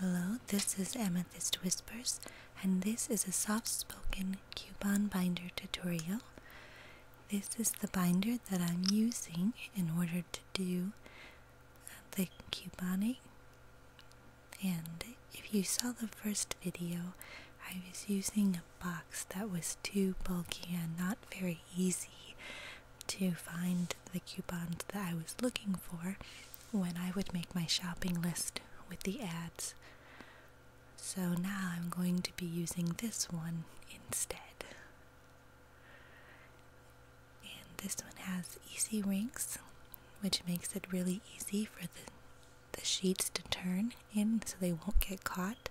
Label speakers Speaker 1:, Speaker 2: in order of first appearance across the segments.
Speaker 1: Hello, this is Amethyst Whispers, and this is a soft spoken coupon binder tutorial. This is the binder that I'm using in order to do the couponing. And if you saw the first video, I was using a box that was too bulky and not very easy to find the coupons that I was looking for when I would make my shopping list with the ads. So now I'm going to be using this one instead. And this one has easy rings, which makes it really easy for the, the sheets to turn in so they won't get caught.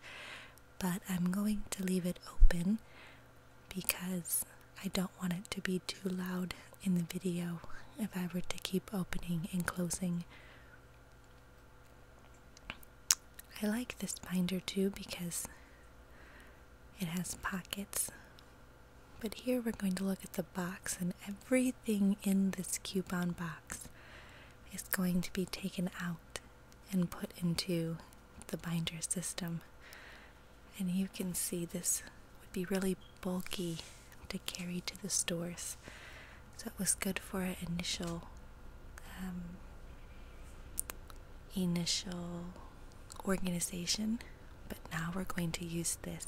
Speaker 1: But I'm going to leave it open because I don't want it to be too loud in the video if I were to keep opening and closing. I like this binder too because it has pockets. But here we're going to look at the box and everything in this coupon box is going to be taken out and put into the binder system and you can see this would be really bulky to carry to the stores so it was good for an initial um, initial organization but now we're going to use this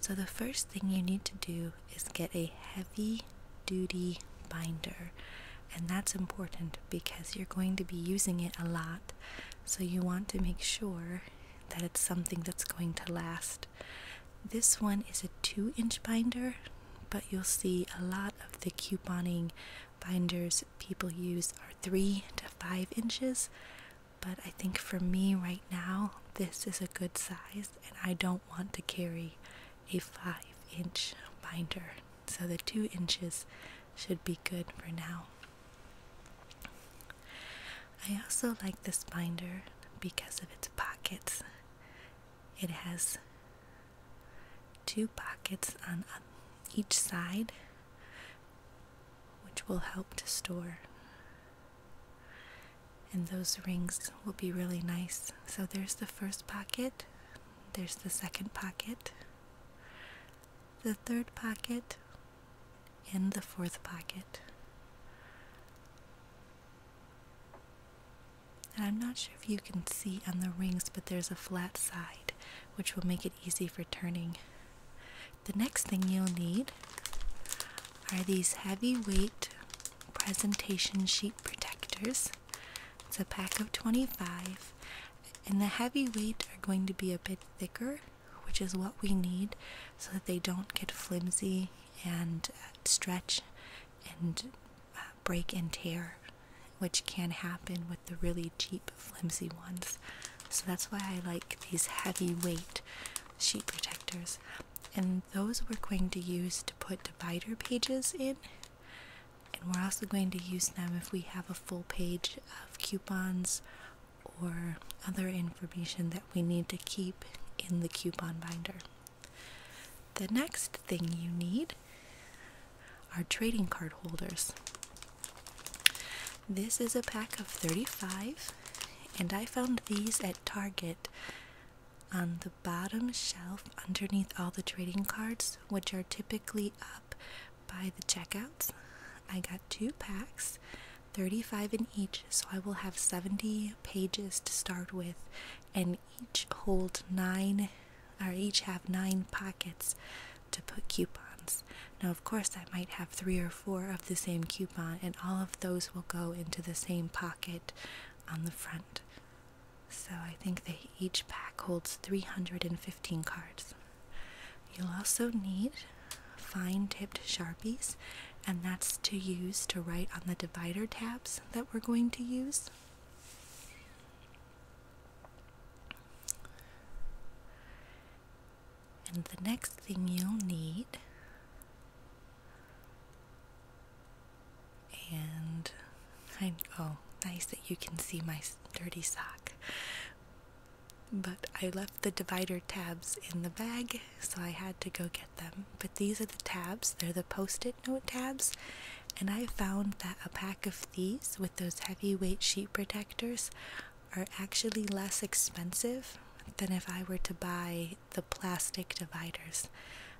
Speaker 1: so the first thing you need to do is get a heavy duty binder and that's important because you're going to be using it a lot so you want to make sure that it's something that's going to last. This one is a two inch binder, but you'll see a lot of the couponing binders people use are three to five inches. But I think for me right now, this is a good size, and I don't want to carry a five inch binder. So the two inches should be good for now. I also like this binder because of its pockets. It has two pockets on uh, each side, which will help to store. And those rings will be really nice. So there's the first pocket, there's the second pocket, the third pocket and the fourth pocket. And I'm not sure if you can see on the rings, but there's a flat side, which will make it easy for turning. The next thing you'll need are these heavy weight presentation sheet protectors. It's a pack of 25, and the heavy weight are going to be a bit thicker which is what we need so that they don't get flimsy and uh, stretch and uh, break and tear, which can happen with the really cheap, flimsy ones. So that's why I like these heavy weight sheet protectors. And those we're going to use to put divider pages in. And we're also going to use them if we have a full page of coupons or other information that we need to keep in the coupon binder. The next thing you need are trading card holders. This is a pack of 35, and I found these at Target on the bottom shelf underneath all the trading cards, which are typically up by the checkouts. I got two packs, 35 in each, so I will have 70 pages to start with, and each hold nine or each have nine pockets to put coupons. Now, of course, I might have three or four of the same coupon, and all of those will go into the same pocket on the front. So I think that each pack holds 315 cards. You'll also need fine tipped sharpies, and that's to use to write on the divider tabs that we're going to use. And the next thing you'll need. And oh, nice that you can see my dirty sock but I left the divider tabs in the bag, so I had to go get them. But these are the tabs, they're the post it note tabs, and I found that a pack of these with those heavy weight sheet protectors are actually less expensive than if I were to buy the plastic dividers.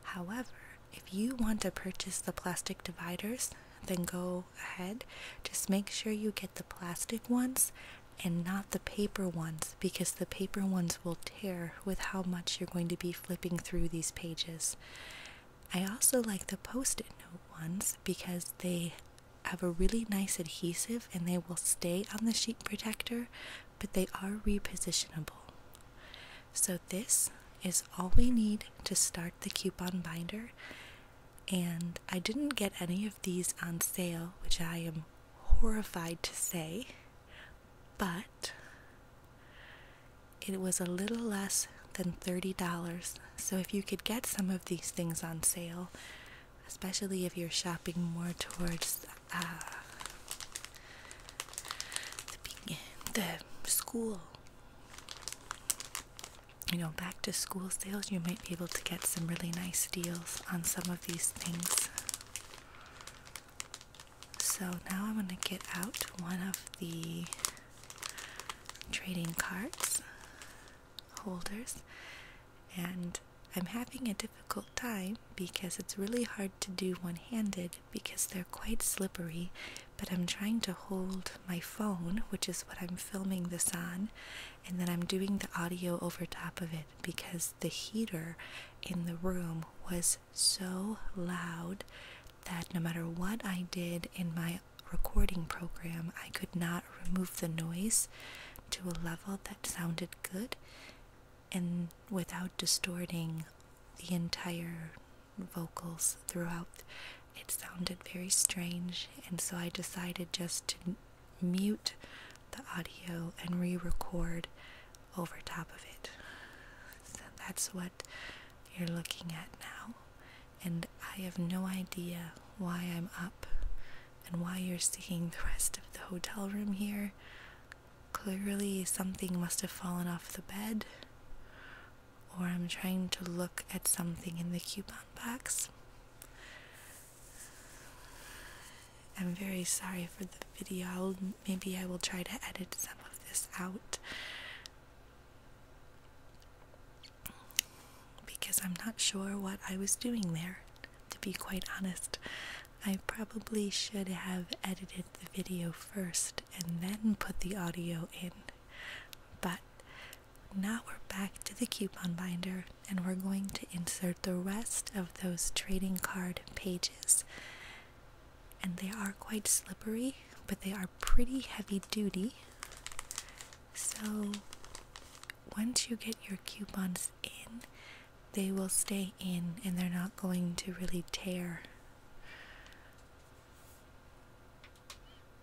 Speaker 1: However, if you want to purchase the plastic dividers, then go ahead. Just make sure you get the plastic ones and not the paper ones because the paper ones will tear with how much you're going to be flipping through these pages. I also like the post it note ones because they have a really nice adhesive and they will stay on the sheet protector, but they are repositionable. So, this is all we need to start the coupon binder and I didn't get any of these on sale, which I am horrified to say, but it was a little less than $30. So if you could get some of these things on sale, especially if you're shopping more towards uh, the school you know, back to school sales, you might be able to get some really nice deals on some of these things. So now I'm going to get out one of the trading cards holders, and I'm having a difficult time because it's really hard to do one handed because they're quite slippery. But I'm trying to hold my phone, which is what I'm filming this on, and then I'm doing the audio over top of it because the heater in the room was so loud that no matter what I did in my recording program, I could not remove the noise to a level that sounded good and without distorting the entire vocals throughout it sounded very strange, and so I decided just to mute the audio and re record over top of it. So that's what you're looking at now. And I have no idea why I'm up and why you're seeing the rest of the hotel room here. Clearly, something must have fallen off the bed, or I'm trying to look at something in the coupon box. I'm very sorry for the video. I'll, maybe I will try to edit some of this out because I'm not sure what I was doing there, to be quite honest. I probably should have edited the video first and then put the audio in, but now we're back to the coupon binder and we're going to insert the rest of those trading card pages. And they are quite slippery, but they are pretty heavy duty. So once you get your coupons in, they will stay in and they're not going to really tear.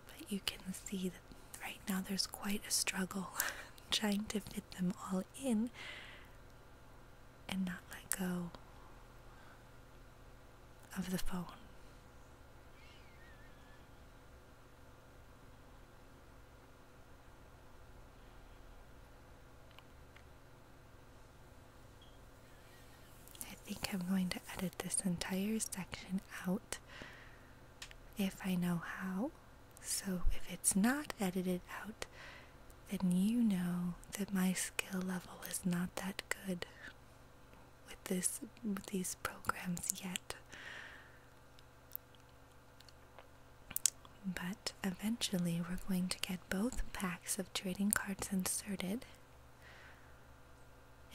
Speaker 1: But you can see that right now there's quite a struggle trying to fit them all in and not let go of the phone. I think I'm going to edit this entire section out if I know how. So if it's not edited out, then you know that my skill level is not that good with this with these programs yet. But eventually we're going to get both packs of trading cards inserted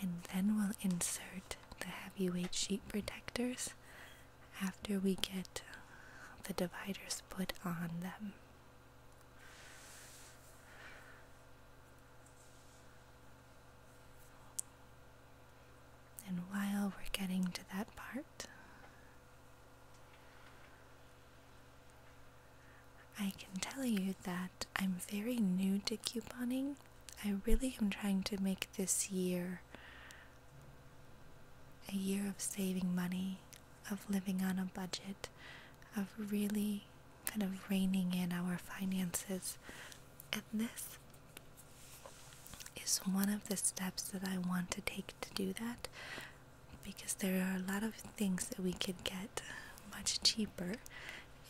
Speaker 1: and then we'll insert the heavyweight sheet protectors after we get the dividers put on them. And while we're getting to that part, I can tell you that I'm very new to couponing. I really am trying to make this year a year of saving money, of living on a budget, of really kind of reining in our finances. And this is one of the steps that I want to take to do that because there are a lot of things that we could get much cheaper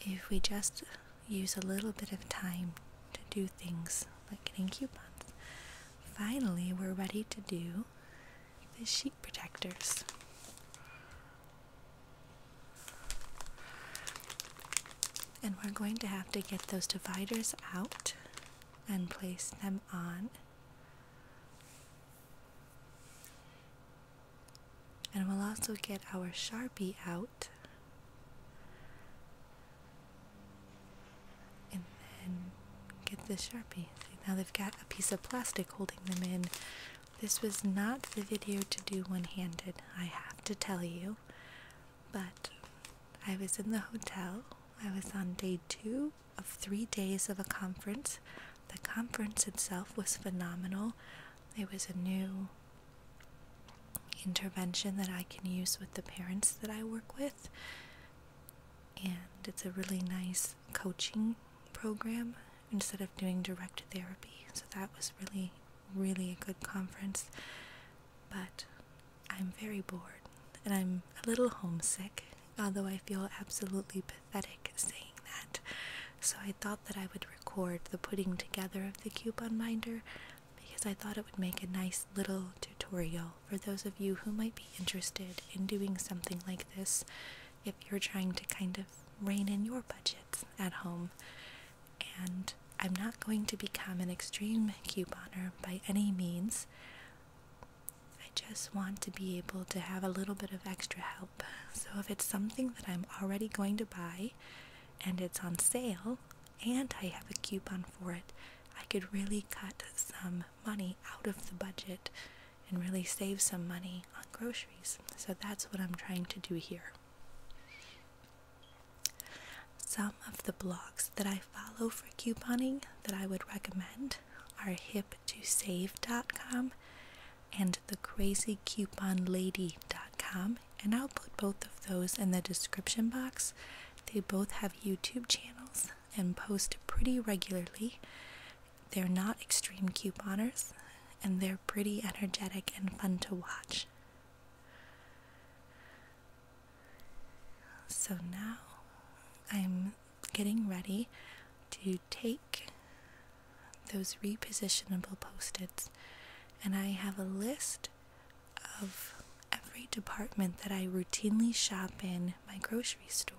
Speaker 1: if we just use a little bit of time to do things like getting coupons, finally we're ready to do the sheet protectors. And we're going to have to get those dividers out and place them on and we'll also get our Sharpie out. And then get the Sharpie. now they've got a piece of plastic holding them in. This was not the video to do one handed, I have to tell you. But I was in the hotel. I was on day two of three days of a conference. The conference itself was phenomenal. It was a new intervention that I can use with the parents that I work with. And it's a really nice coaching program instead of doing direct therapy. So that was really, really a good conference. But I'm very bored and I'm a little homesick, although I feel absolutely pathetic saying that. So I thought that I would record the putting together of the coupon binder because I thought it would make a nice little tutorial for those of you who might be interested in doing something like this if you're trying to kind of rein in your budget at home. And I'm not going to become an extreme couponer by any means. I just want to be able to have a little bit of extra help. So if it's something that I'm already going to buy and it's on sale and I have a coupon for it, I could really cut some money out of the budget and really save some money on groceries. So that's what I'm trying to do here. Some of the blogs that I follow for couponing that I would recommend are hiptosave.com and thecrazycouponlady.com, and I'll put both of those in the description box. They both have YouTube channels and post pretty regularly. They're not extreme couponers, and they're pretty energetic and fun to watch. So now I'm getting ready to take those repositionable post-its and I have a list of every department that I routinely shop in my grocery store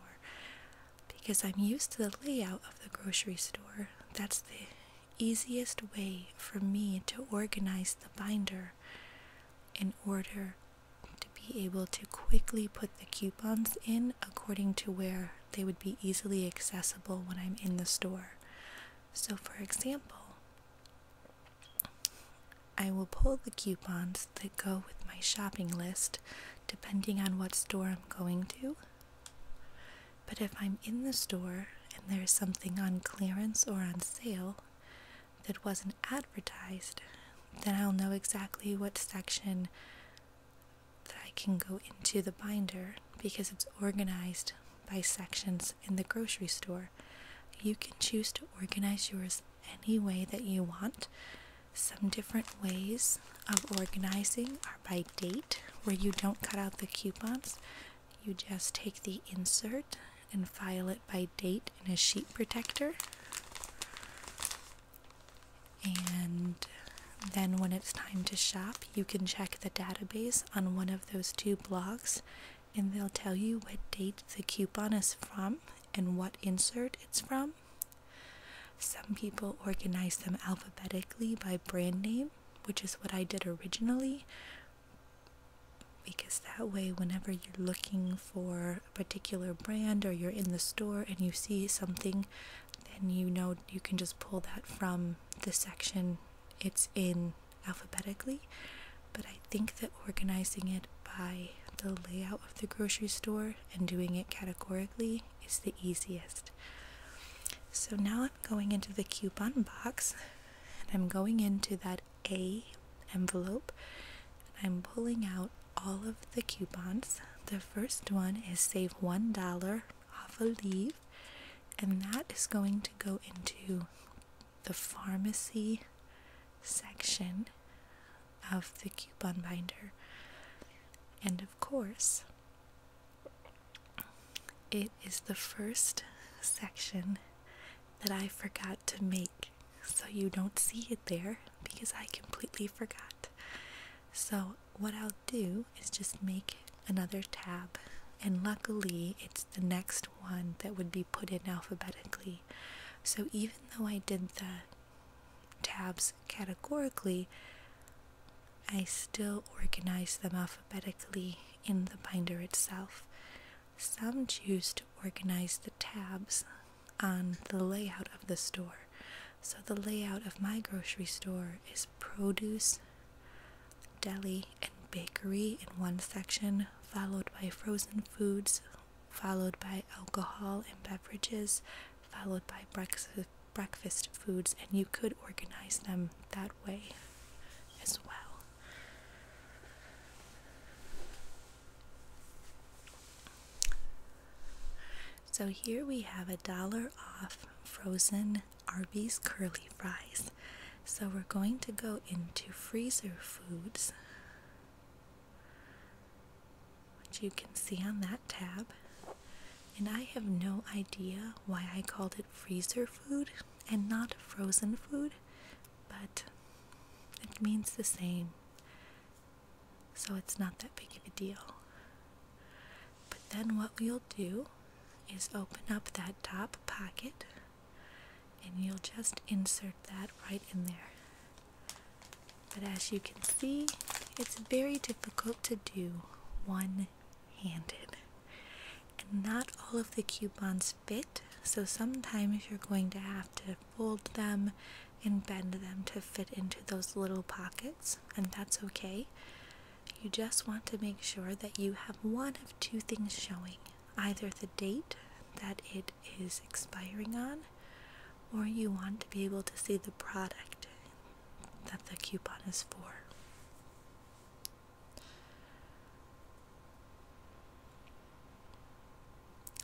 Speaker 1: because I'm used to the layout of the grocery store. That's the easiest way for me to organize the binder in order to be able to quickly put the coupons in according to where they would be easily accessible when I'm in the store. So, for example, I will pull the coupons that go with my shopping list depending on what store I'm going to. But if I'm in the store and there's something on clearance or on sale that wasn't advertised, then I'll know exactly what section that I can go into the binder because it's organized by sections in the grocery store. You can choose to organize yours any way that you want. Some different ways of organizing are by date, where you don't cut out the coupons. You just take the insert and file it by date in a sheet protector. And then, when it's time to shop, you can check the database on one of those two blocks and they'll tell you what date the coupon is from and what insert it's from. Some people organize them alphabetically by brand name, which is what I did originally, because that way, whenever you're looking for a particular brand or you're in the store and you see something, then you know you can just pull that from the section it's in alphabetically, but I think that organizing it by the layout of the grocery store and doing it categorically is the easiest. So now I'm going into the coupon box and I'm going into that A envelope and I'm pulling out all of the coupons. The first one is save $1 of a leaf, and that is going to go into the pharmacy section of the coupon binder. And of course, it is the first section that I forgot to make. So you don't see it there because I completely forgot. So, what I'll do is just make another tab, and luckily it's the next one that would be put in alphabetically. So even though I did the tabs categorically, I still organize them alphabetically in the binder itself. Some choose to organize the tabs on the layout of the store. So the layout of my grocery store is produce, deli, and bakery in one section, followed by frozen foods, followed by alcohol and beverages, followed by breakfast foods, and you could organize them that way as well. So here we have a dollar off frozen Arby's curly fries. So we're going to go into freezer foods, which you can see on that tab. And I have no idea why I called it freezer food and not frozen food, but it means the same. So it's not that big of a deal. But then what we'll do is open up that top pocket and you'll just insert that right in there. But as you can see, it's very difficult to do one handed. And not all of the coupons fit, so sometimes you're going to have to fold them and bend them to fit into those little pockets, and that's okay. You just want to make sure that you have one of two things showing either the date that it is expiring on, or you want to be able to see the product that the coupon is for.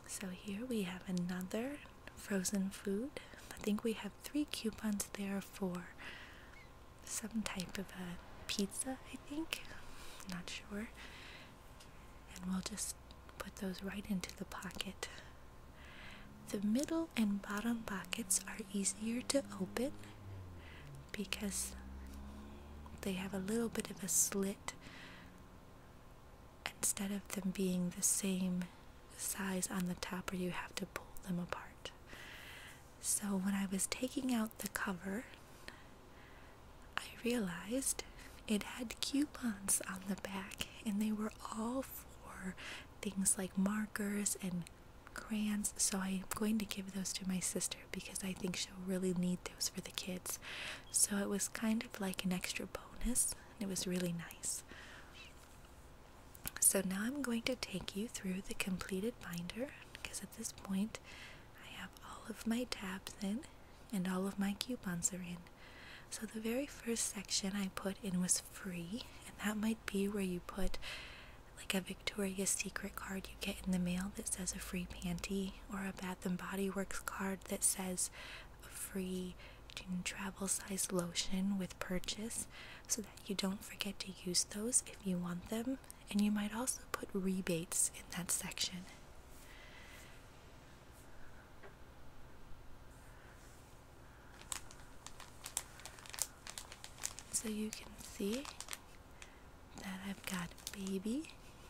Speaker 1: So, here we have another frozen food. I think we have three coupons there for some type of a pizza, I think. Not sure. And we'll just put those right into the pocket. The middle and bottom pockets are easier to open because they have a little bit of a slit instead of them being the same size on the top or you have to pull them apart. So when I was taking out the cover, I realized it had coupons on the back and they were all for things like markers and crayons. So I'm going to give those to my sister because I think she'll really need those for the kids. So it was kind of like an extra bonus. It was really nice. So now I'm going to take you through the completed binder because at this point I have all of my tabs in and all of my coupons are in. So the very first section I put in was free, and that might be where you put like a Victoria's Secret card you get in the mail that says a free panty, or a Bath and Body Works card that says a free travel size lotion with purchase so that you don't forget to use those if you want them, and you might also put rebates in that section. So you can see that I've got baby.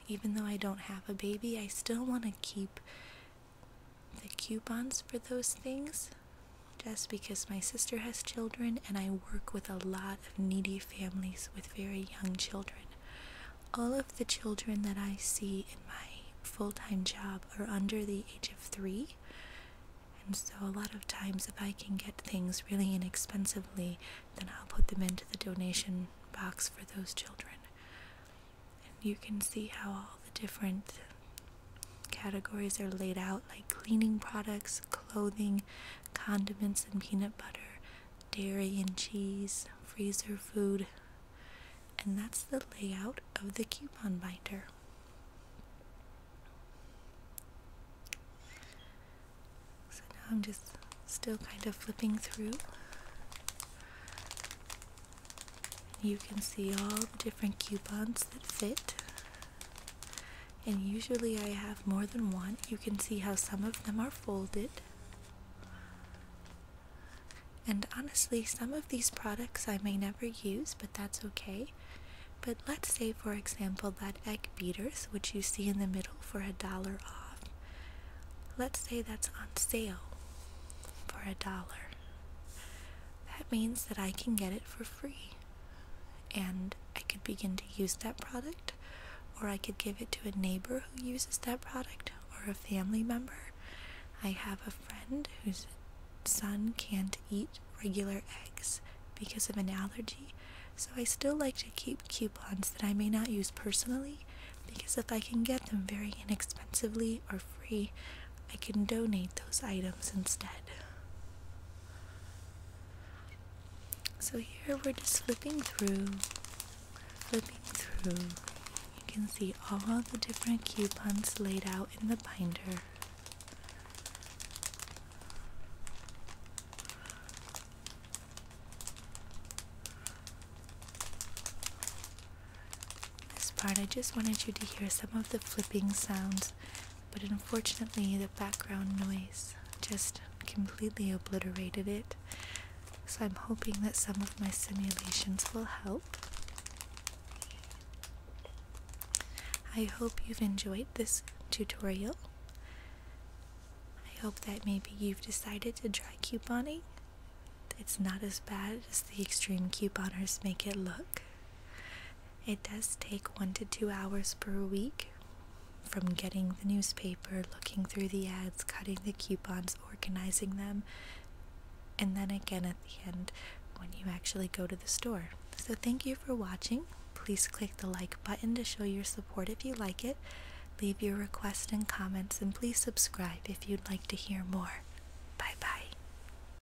Speaker 1: Even though I don't have a baby, I still want to keep the coupons for those things just because my sister has children and I work with a lot of needy families with very young children. All of the children that I see in my full time job are under the age of three, and so a lot of times, if I can get things really inexpensively, then I'll put them into the donation box for those children. And you can see how all the different Categories are laid out like cleaning products, clothing, condiments and peanut butter, dairy and cheese, freezer food, and that's the layout of the coupon binder. So now I'm just still kind of flipping through. You can see all the different coupons that fit and usually I have more than one. You can see how some of them are folded. And honestly, some of these products I may never use, but that's okay. But let's say, for example, that egg beaters, which you see in the middle for a dollar off, let's say that's on sale for a dollar. That means that I can get it for free and I could begin to use that product, or I could give it to a neighbor who uses that product, or a family member. I have a friend whose son can't eat regular eggs because of an allergy, so I still like to keep coupons that I may not use personally because if I can get them very inexpensively or free, I can donate those items instead. So here we're just flipping through, flipping through. You can see all the different coupons laid out in the binder. This part, I just wanted you to hear some of the flipping sounds but unfortunately the background noise just completely obliterated it. So I'm hoping that some of my simulations will help. I hope you've enjoyed this tutorial. I hope that maybe you've decided to try couponing. It's not as bad as the extreme couponers make it look. It does take one to two hours per week from getting the newspaper, looking through the ads, cutting the coupons, organizing them, and then again at the end when you actually go to the store. So, thank you for watching. Please click the like button to show your support if you like it. Leave your requests and comments, and please subscribe if you'd like to hear more. Bye bye.